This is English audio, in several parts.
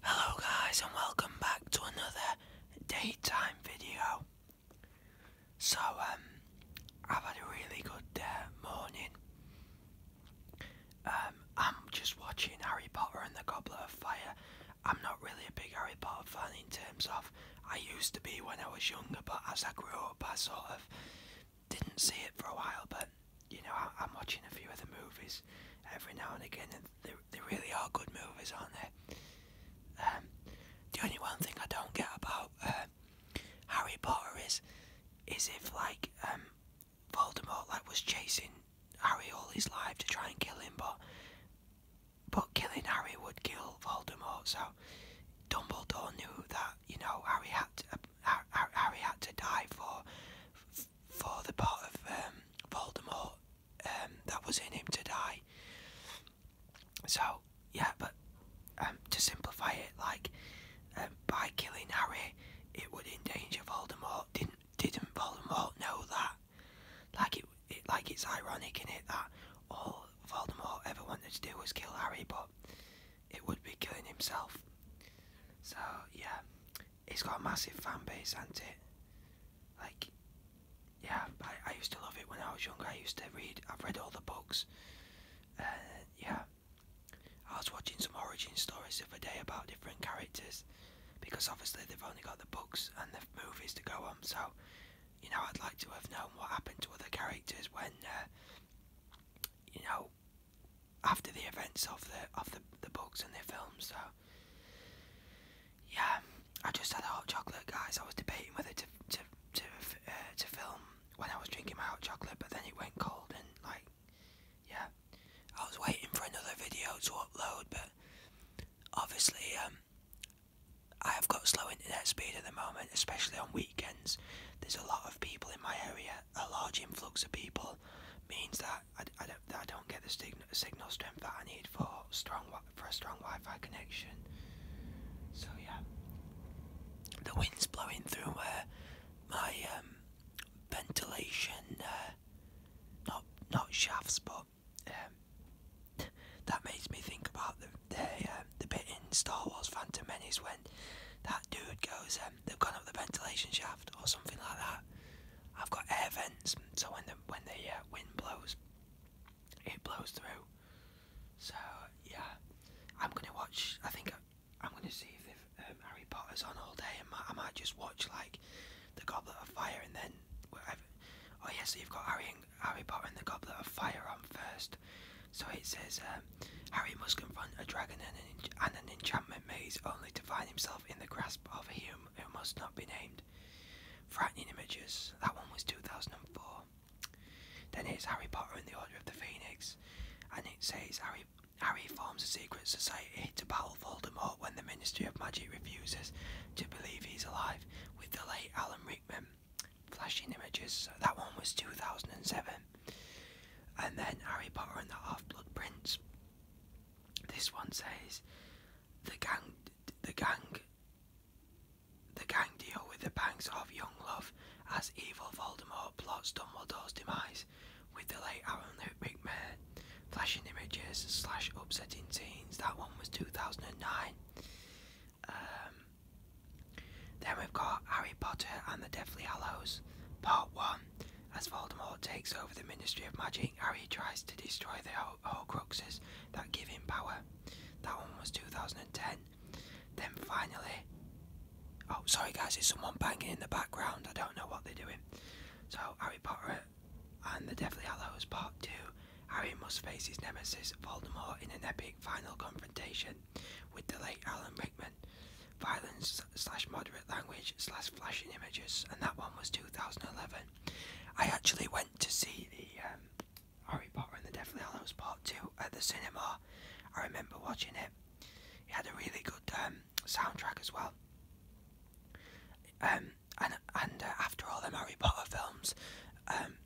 Hello guys and welcome back to another daytime video. So um I've had a really good uh, morning. Um, I'm just watching Harry Potter and the Goblet of Fire. I'm not really a big Harry Potter fan in terms of I used to be when I was younger but as I grew up I sort of didn't see it for a while but you know I, am watching a few of the movies every now and again, and they they really are good movies, aren't they? Um, the only one thing I don't get about um, Harry Potter is is if like um, Voldemort like was chasing Harry all his life to try and kill him, but but killing Harry would kill Voldemort, so Dumbledore knew that you know Harry had to, Harry had to die for for the part of um, Voldemort um, that was in him to die. So yeah, but um, to simplify it, like by killing Harry, it would endanger Voldemort. Didn't didn't Voldemort know that? Like it, it like it's ironic in it that all Voldemort ever wanted to do was kill Harry, but it would be killing himself. So yeah, he has got a massive fan base, hasn't it? Like, yeah, I, I used to love it when I was younger. I used to read. I've read all the books. Uh, yeah, I was watching some origin stories the other day about different characters, because obviously they've only got the books and the movies to go on. So, you know, I'd like to have known what happened to other characters when, uh, you know, after the events of the of the, the books and the films. So yeah, I just had a hot chocolate, guys. I was debating whether to to to uh, to film when I was drinking my hot chocolate, but then it went cold and like yeah, I was waiting for another video to upload, but obviously um. I have got slow internet speed at the moment, especially on weekends. There's a lot of people in my area a large influx of people means that I, I, don't, I don't get the signal, signal strength that I need for strong for a strong Wi-Fi connection. So yeah, the wind's blowing through uh, my um, ventilation, uh, not not shafts, but um, that makes me think about the the, um, the bit in Star Wars Phantom Menace when that dude goes, um, they've gone up the ventilation shaft or something like that. I've got air vents, so when the when the uh, wind blows, it blows through. So yeah, I'm gonna watch. I think uh, I, am gonna see if, um, Harry Potter's on all day, and I might just watch like the Goblet of Fire, and then whatever. Oh yeah, so you've got Harry and, Harry Potter and the Goblet of Fire on first. So it says um, Harry must confront a dragon and an, enchantment maze only to find himself in the grasp of a him who must not be named. Frightening Images, that one was 2004. Then here's Harry Potter and the Order of the Phoenix, and it says Harry, Harry forms a secret society to battle Voldemort when the Ministry of Magic refuses to believe he's alive, with the late Alan Rickman. Flashing Images, that one was 2007. And then Harry Potter and the Half Blood Prince. This one says, the gang, the gang, the gang deal with the pangs of young love as evil Voldemort plots Dumbledore's demise with the late Aaron McMahon. Flashing images slash upsetting teens." That one was 2009. Um, then we've got Harry Potter and the Deathly Hallows, Part 1. As Voldemort takes over the Ministry of Magic, Harry tries to destroy the Horcruxes that give him power. That one was 2010. Then finally, oh sorry guys, it's someone banging in the background. I don't know what they're doing. So Harry Potter and the Deathly Hallows Part 2. Harry must face his nemesis Voldemort in an epic final confrontation with the late Alan Rickman. Violence slash moderate language slash flashing images, and that one was 2011. I actually went to see the um, Harry Potter and the Deathly Hallows Part 2 at the cinema. I remember watching it. It had a really good um, soundtrack as well. Um, and and uh, after all the Harry Potter films,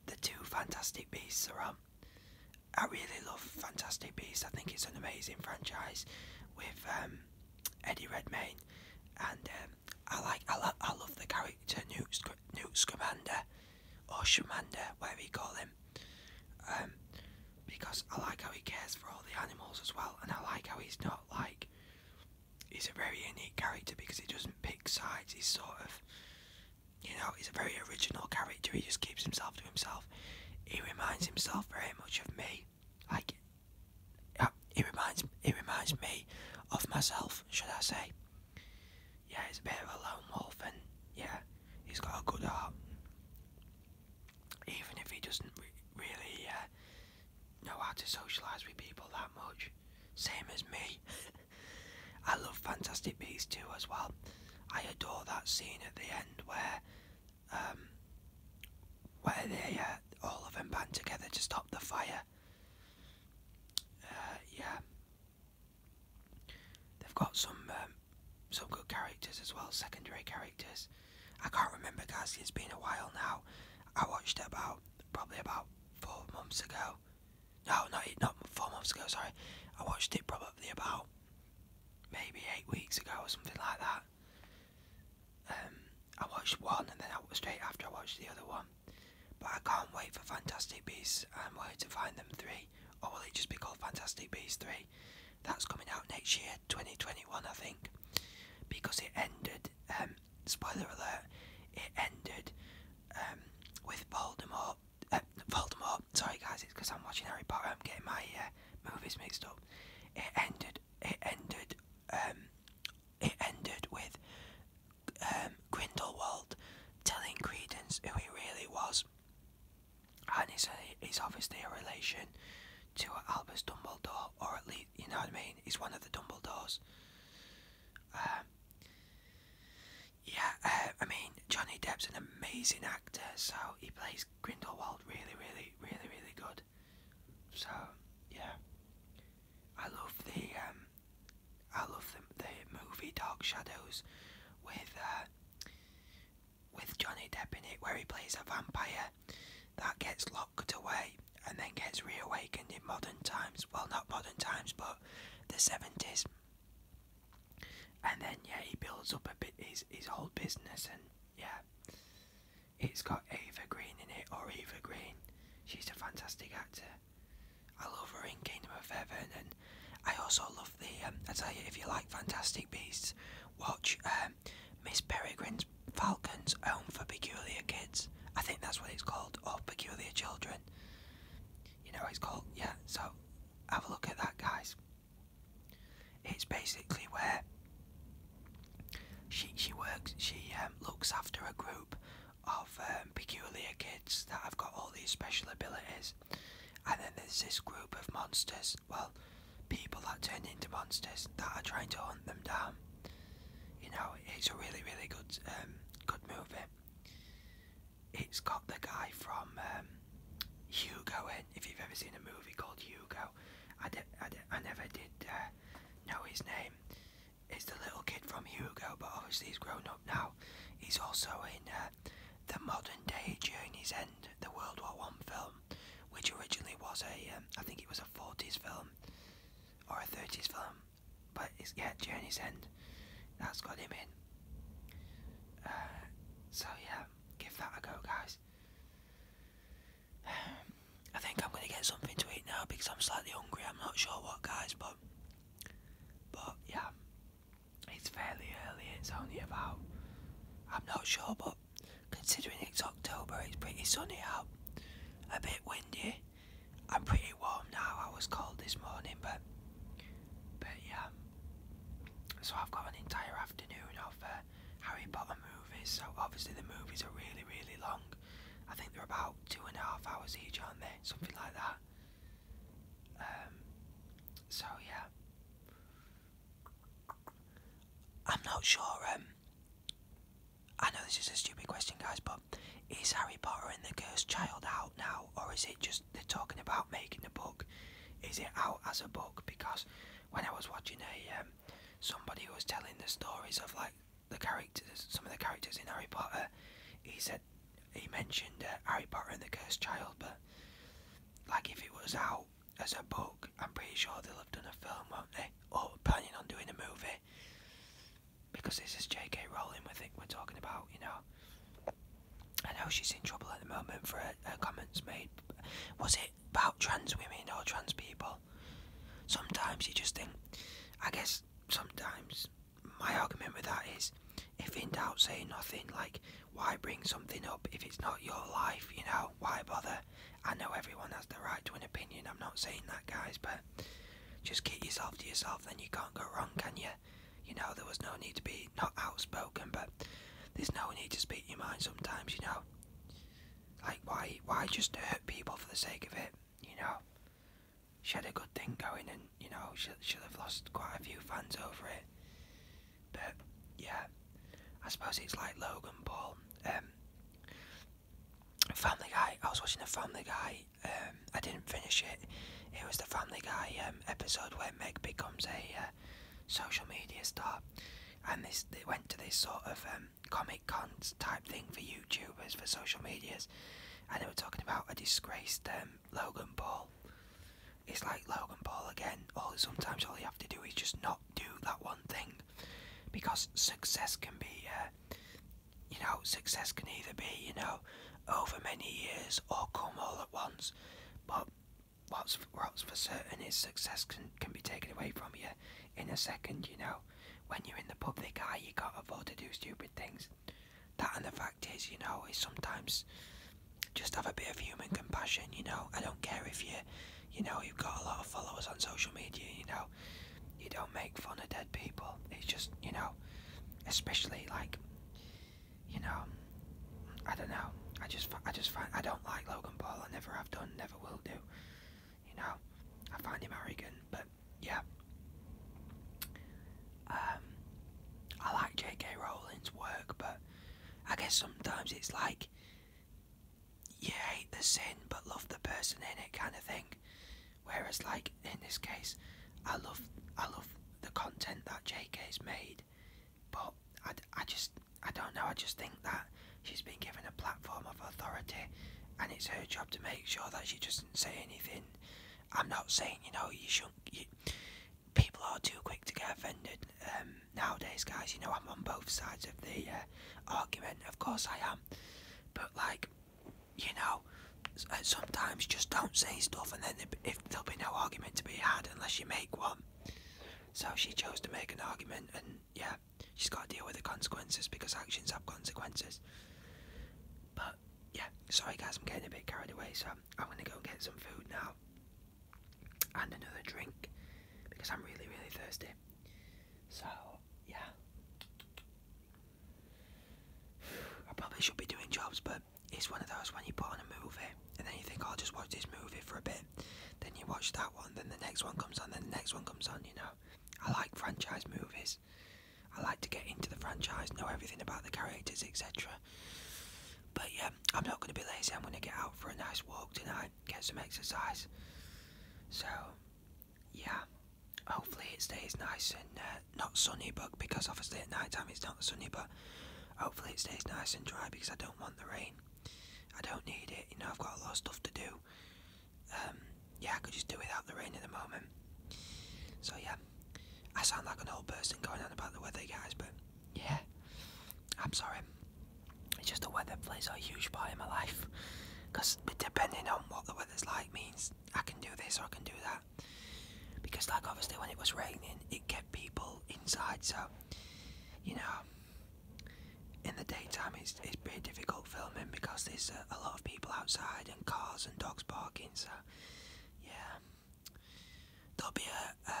the two Fantastic Beasts are on. I really love Fantastic Beasts. I think it's an amazing franchise with um, Eddie Redmayne, and um, I like I, lo I love the character Newt, Sc Scamander or Shamander, whatever you call him, um, because I like how he cares for all the animals as well, and I like how he's not like he's a very unique character because he doesn't pick sides. He's sort of you know, he's a very original character. He just keeps himself to himself. He reminds himself very much of me. Like it uh, reminds it reminds me of myself, should I say? Yeah, he's a bit of a lone wolf, and yeah, he's got a good heart. Even if he doesn't really uh, know how to socialise with people that much, same as me. I love Fantastic Beasts too, as well. I adore that scene at the end where, um, where they uh, all of them band together to stop the fire. Uh, yeah, they've got some um, some good characters as well, secondary characters. I can't remember, guys. It's been a while now. I watched it about probably about four months ago. No, not not four months ago. Sorry, I watched it probably about maybe eight weeks ago or something like that. Um, I watched one and then I, straight after I watched the other one. But I can't wait for Fantastic Beasts I'm Where to Find Them 3, or will it just be called Fantastic Beasts 3? That's coming out next year, 2021, I think. Because it ended, um, spoiler alert, it ended um, with Voldemort Voldemort. Uh, Sorry guys, it's because I'm watching Harry Potter. I'm getting my uh, movies mixed up. It ended. It ended. Um, it ended with um, Grindelwald telling Credence who he really was, and he's, he's obviously a relation to Albus Dumbledore, or at least you know what I mean. He's one of the Dumbledores. Um, yeah, uh, I mean Johnny Depp's an amazing actor, so he plays Grindelwald really, really, really, really good. So yeah, I love the um, I love the the movie Dark Shadows with uh, with Johnny Depp in it, where he plays a vampire that gets locked away and then gets reawakened in modern times. Well, not modern times, but the seventies. And then yeah, he builds up a bit his his whole business, and yeah, it's got Eva Green in it, or Eva Green. She's a fantastic actor. I love her in Kingdom of Heaven, and I also love the. Um, I tell you, if you like Fantastic Beasts, watch um, Miss Peregrine's Falcon's Home for Peculiar Kids. I think that's what it's called, or Peculiar Children. You know, what it's called yeah. So have a look at that, guys. It's basically where she she works. She um, looks after a group of um, peculiar kids that have got all these special abilities, and then there's this group of monsters. Well, people that turn into monsters that are trying to hunt them down. You know, it's a really really good um, good movie. It's got the guy from um, Hugo in. If you've ever seen a movie called Hugo, I, never did uh, know his name. It's the little kid from Hugo, but obviously he's grown up now. He's also in uh, the modern day Journey's End, the World War One film, which originally was a um, I think it was a 40s film or a 30s film. But it's yeah, Journey's End. That's got him in. Uh, so yeah, give that a go, guys. I think I'm gonna get something to eat now because I'm slightly hungry. I'm not sure what, guys, but but yeah, it's fairly early. It's only about I'm not sure, but considering it's October, it's pretty sunny out, a bit windy. I'm pretty warm now. I was cold this morning, but but yeah. So I've got an entire afternoon of uh, Harry Potter movies. So obviously the movies are really really long. I think they're about two and a half hours each, aren't they? Something like that. Um, so yeah. I'm not sure. Um, I know this is a stupid question, guys, but is Harry Potter and the Cursed Child out now, or is it just they're talking about making a book? Is it out as a book? Because when I was watching a um, somebody was telling the stories of like the characters, some of the characters in Harry Potter, he said he mentioned uh, Harry Potter and the Cursed Child, but like if it was out as a book, I'm pretty sure they'll have done a film, won't they? Or planning on doing a movie because this is J.K. Rowling. We think we're talking about, you know. I know she's in trouble at the moment for her, her comments made. Was it about trans women or trans people? Sometimes you just think. I guess sometimes my argument with that is, if in doubt, say nothing. Like, why bring something up if it's not your life? You know, why bother? I know everyone has the right to an opinion. I'm not saying that, guys, but just keep yourself to yourself. Then you can't go wrong, can you? You know, there was no need to be not outspoken, but there's no need to speak your mind sometimes, you know. Like, why, why just hurt people for the sake of it, you know? She had a good thing going, and you know, she, she'll have lost quite a few fans over it. But yeah, I suppose it's like Logan Paul. Um, Family Guy. I was watching the Family Guy um, I didn't finish it. It was the Family Guy um, episode where Meg becomes a uh, social media star, and this they went to this sort of um, comic con type thing for YouTubers for social medias, and they were talking about a disgraced Logan Paul. It's like Logan Paul again. All sometimes all you have to do is just not do that one thing, because success can be uh, you know, success can either be, you know, over many years or come all at once. But what's what's for certain is success can can be taken away from you in a second. You know, when you're in the public eye, you can't afford to do stupid things. That and the fact is, you know, is sometimes just have a bit of human compassion. You know, I don't care if you, you know, you've got a lot of followers on social media. You know, you don't make fun of dead people. It's just, you know, especially like, you know, I don't know. I just, I just find I don't like Logan Paul. I never have done, never will do. You know, I find him arrogant, but yeah. Um, I like J.K. Rowling's work, but I guess sometimes it's like you hate the sin but love the person in it kind of thing. Whereas, like in this case, I love I love the content that J K. JK's made, but I, I just I don't know. I just think that she's been given a platform of authority, and it's her job to make sure that she doesn't say anything. I'm not saying you know you shouldn't. people are too quick to get offended um, nowadays, guys. You know I'm on both sides of the uh, argument. Of course I am, but like you know, uh, sometimes just don't say stuff, and then if there'll be no argument to be had unless you make one. So she chose to make an argument, and yeah, she's got to deal with the consequences because actions have consequences. But yeah, sorry guys, I'm getting a bit carried away, so I'm, gonna go get some food now and another drink because I'm really, really thirsty. So yeah. I probably should be doing jobs, but it's one of those when you put on a movie and then you think, I'll oh, just watch this movie for a bit. Then you watch that one, then the next one comes on, then the next one comes on, you know. I like franchise movies. I like to get into the franchise, know everything about the characters, etc. But yeah, I'm not going to be lazy. I'm going to get out for a nice walk tonight, get some exercise. So, yeah, hopefully it stays nice and uh, not sunny, but because obviously at night time it's not sunny, but hopefully it stays nice and dry because I don't want the rain. I don't need it, you know, I've got a lot of stuff to do. Um, yeah, I could just do without the rain at the moment. So yeah, I sound like an old person going on about the weather, guys, but yeah, I'm sorry. It's just the weather plays a huge part in my life because depending on what the weather's like means I can do this, or I can do that. Because, like, obviously, when it was raining, it kept people inside, so you know, in the daytime, it's, it's pretty difficult filming because there's a, lot of people outside and cars and dogs barking, so yeah, there'll be a, uh,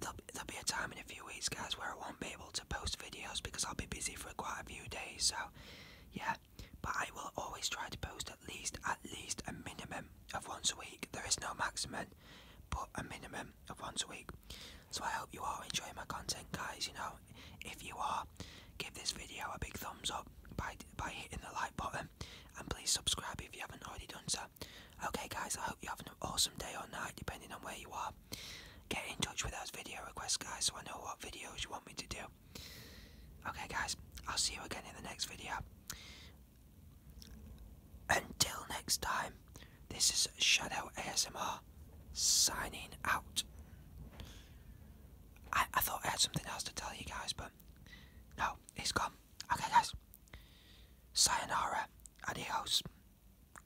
There'll, there'll be a time in a few weeks, guys, where I won't be able to post videos because I'll be busy for quite a few days. So yeah, but I will always try to post at least at least a minimum of once a week. There is no maximum, but a minimum of once a week. So I hope you are enjoying my content, guys. You know, if you are, give this video a big thumbs up by by hitting the like button, and please subscribe if you haven't already done so. Okay, guys, I hope you have an awesome day or night, depending on where you are. Get in touch with those video requests, guys, so I know what videos you want me to do. Okay, guys, I'll see you again in the next video. Until next time, this is Shadow ASMR signing out. I, thought I had something else to tell you guys, but no, he has gone. Okay, guys. Sayonara. Adios.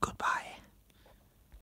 Goodbye.